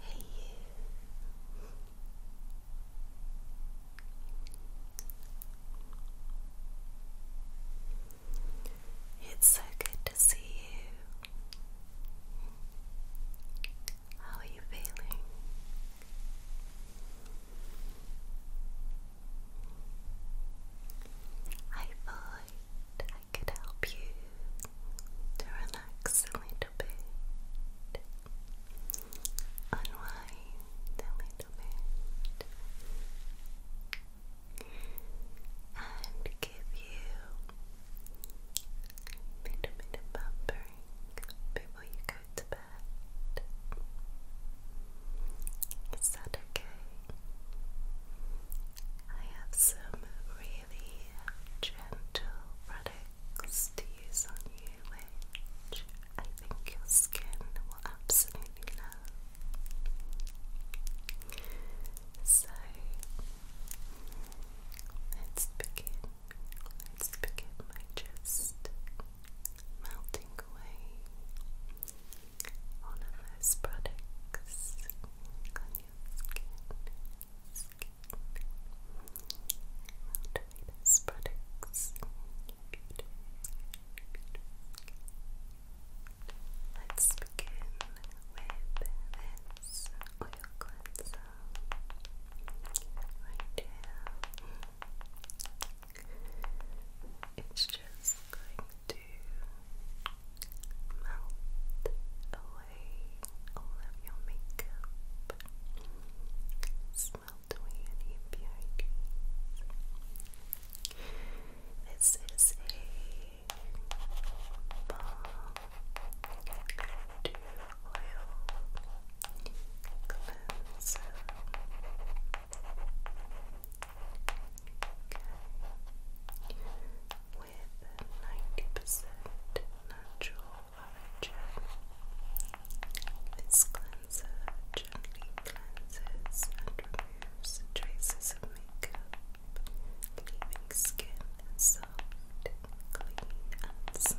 Hey you. It's so good to see you. How are you feeling? I thought I could help you to relax a little bit, unwind a little bit, and give you a little bit of pampering before you go to bed. Is that okay? I have some really gentle products to use on you, which I think your skin will absolutely love. So let's begin. Let's begin by just melting away all of those products on your skin, products let's begin with this oil cleanser right here it's just going to melt away all of your makeup, smelt away any impurities. This is a balm to oil cleanser. Okay. With ninety percent natural origin, this cleanser gently cleanses and removes traces of makeup, leaving skin soft, clean, and smooth.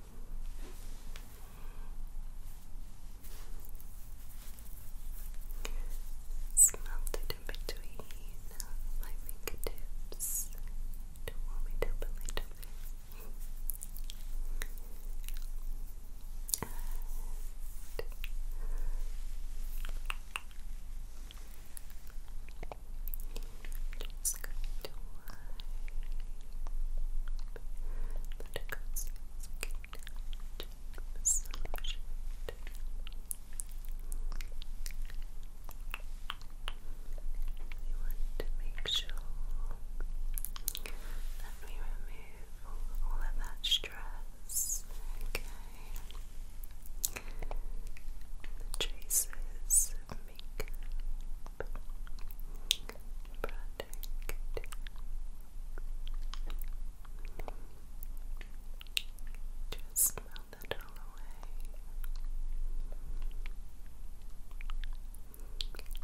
It's melted in between my fingertips. Don't want me to open just going to wipe Buttercup's skin down, just massage it we want to make sure that we remove all, of that stress, okay? The make product just melt that all away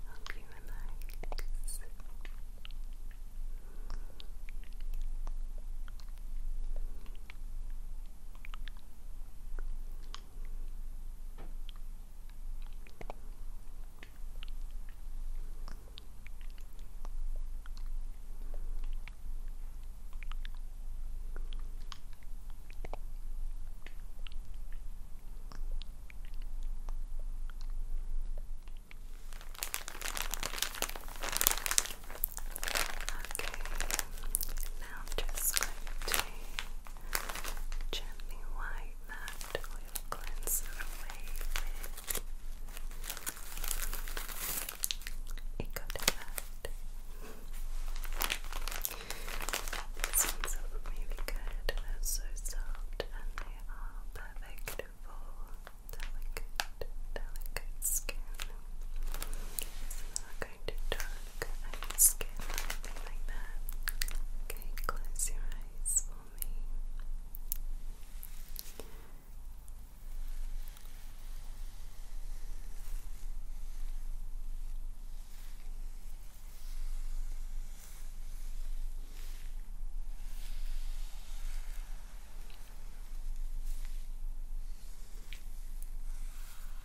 help you relax Relax. Okay, now just going to Gently wipe that oil cleanser away with a good These ones are really good, they're so soft and they are perfect for delicate, delicate skin. So I'm going to dry look skin or like that. Okay, close your eyes for me.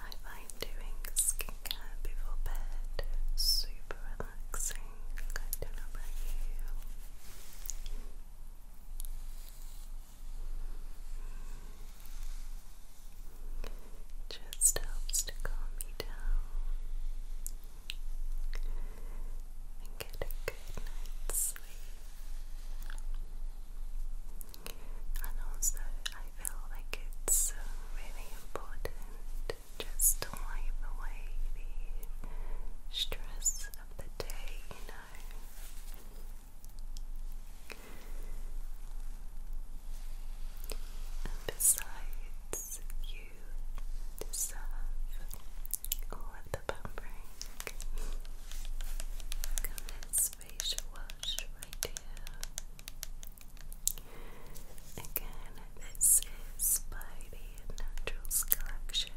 I find doing skincare before bed super relaxing. I don't know about you. Just helps to calm me down and get and also, I feel like it's really important just to wipe away the stress of the day, you know. And besides, you deserve all the this facial wash right here. Again, this is by Naturals Collection.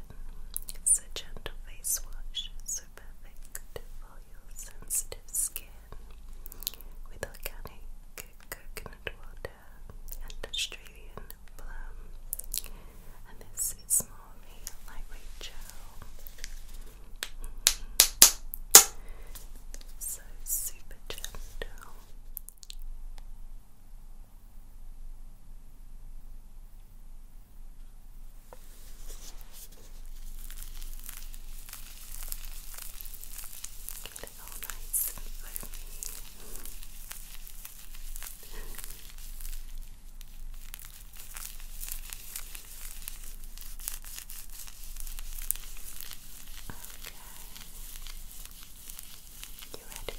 It's a gentle face wash, so perfect for your sensitive skin with organic coconut water and Australian plum and this is more of a lightweight gel. So super gentle. Get all nice and foamy. You ready? Yeah. Okay. Good.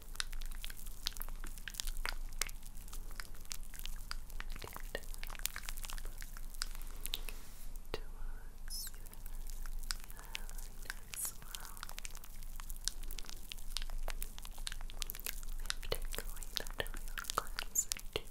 to us. You have a nice smile. We have taken away that real cleanser too. Good.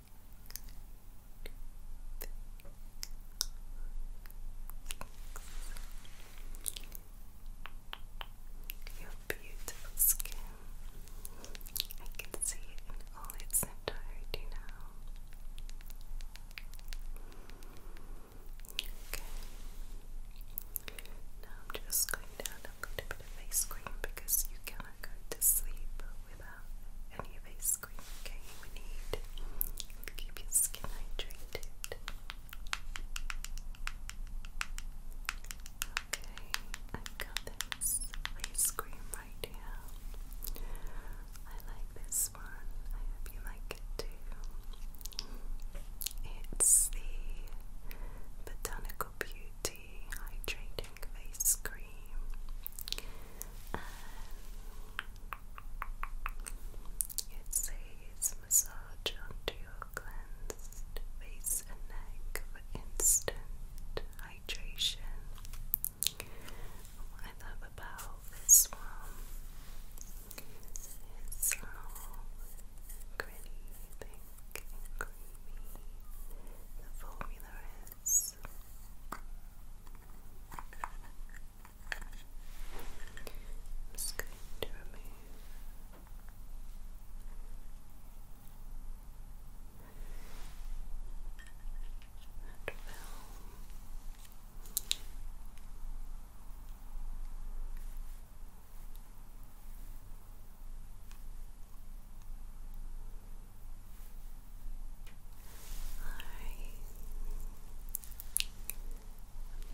Your beautiful skin. I can see all its entirety now. Okay. Now I'm just going to add a face cream because you cannot go to sleep without any of ice cream, okay? We need to keep your skin hydrated. Okay, I've got this ice cream right here. I like this one. I hope you like it too. It's the Botanical Beauty hydrating face cream it says massage onto your cleansed face and neck for instant hydration what I love about this one is how gritty, pink creamy the formula is I'm just going to remove that film.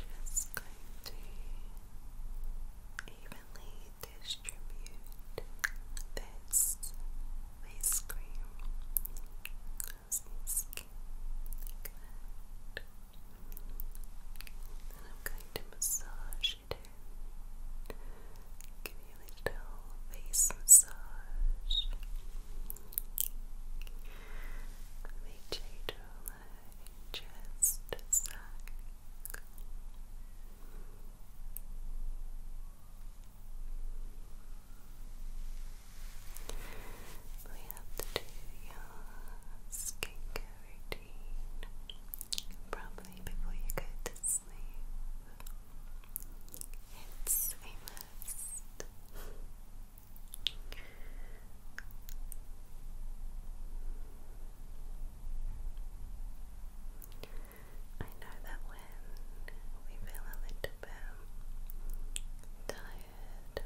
I'm just going to evenly distribute this face cream across And I'm going to massage it Give you a little face massage. Make you relax just a We have to do your skincare routine probably before you go to it's a I know that when we feel a little bit tired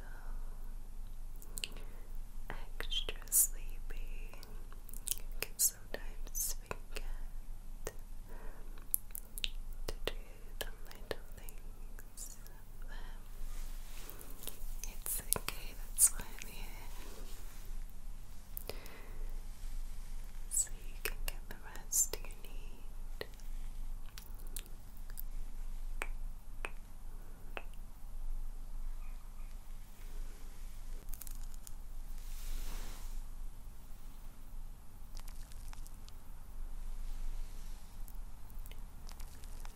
extra sleepy, sometimes forget to do the little things it's okay, that's why so you can get the rest you need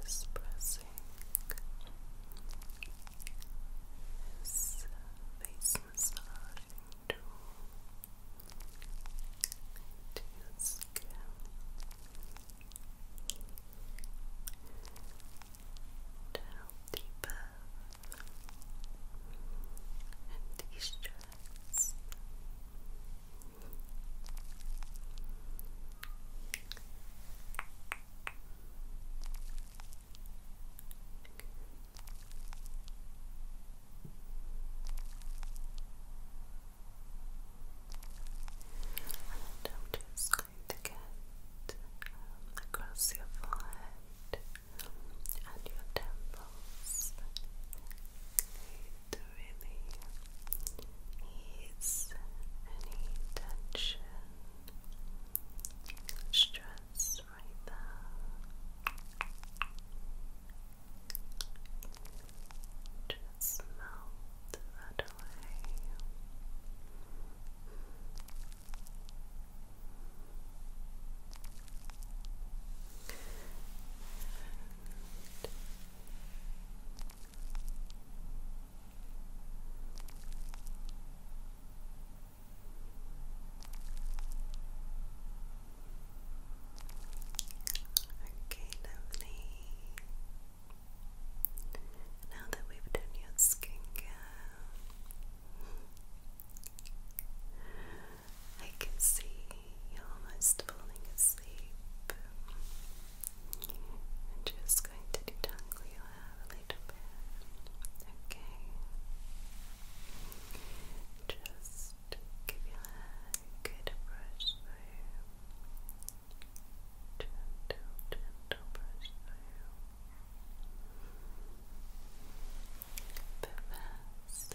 is pressing face massaging tool into skin. To help deepen and de-stress. And I'm just going to get um, across your forehead and your temples to really any tension, stress right there. Just melt that away. Okay, lovely. Now that we've done your skincare, I can see you're almost falling asleep. I'm just going to detangle your hair a little bit. Okay. Just give your hair a good brush through. Gentle, gentle brush through. But first,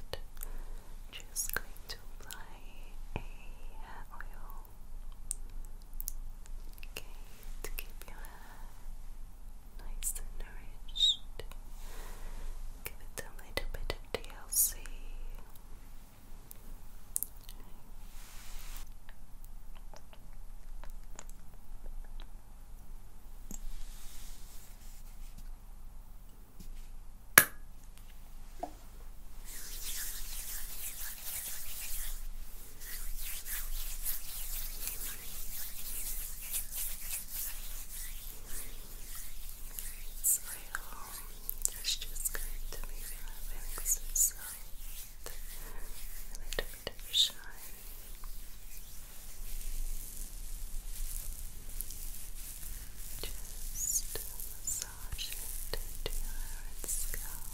just going to apply a hair oil. Okay, to keep your hair nice and nourished. Give it a bit of DLC. Smile. It's just going to be relaxed inside. And it Derbyshire. Just massage into your scalp.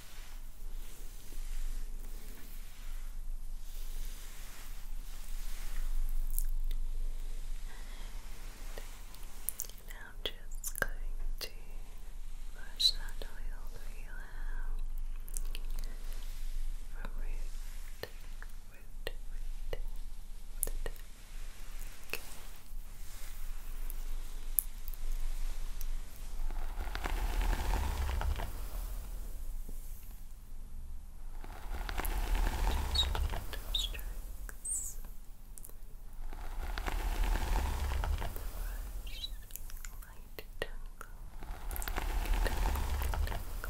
And now I'm just going to brush that oil through your from root, root, root, root. Okay. Just gentle strokes. Brush, light tangle. Tangle, tangle. Just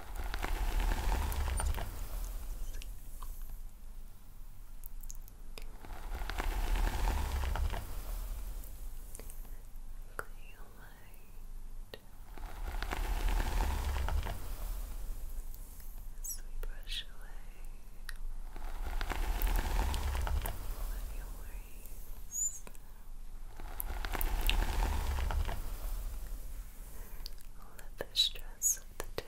Clear light. As away all of worries, all the stress of the day.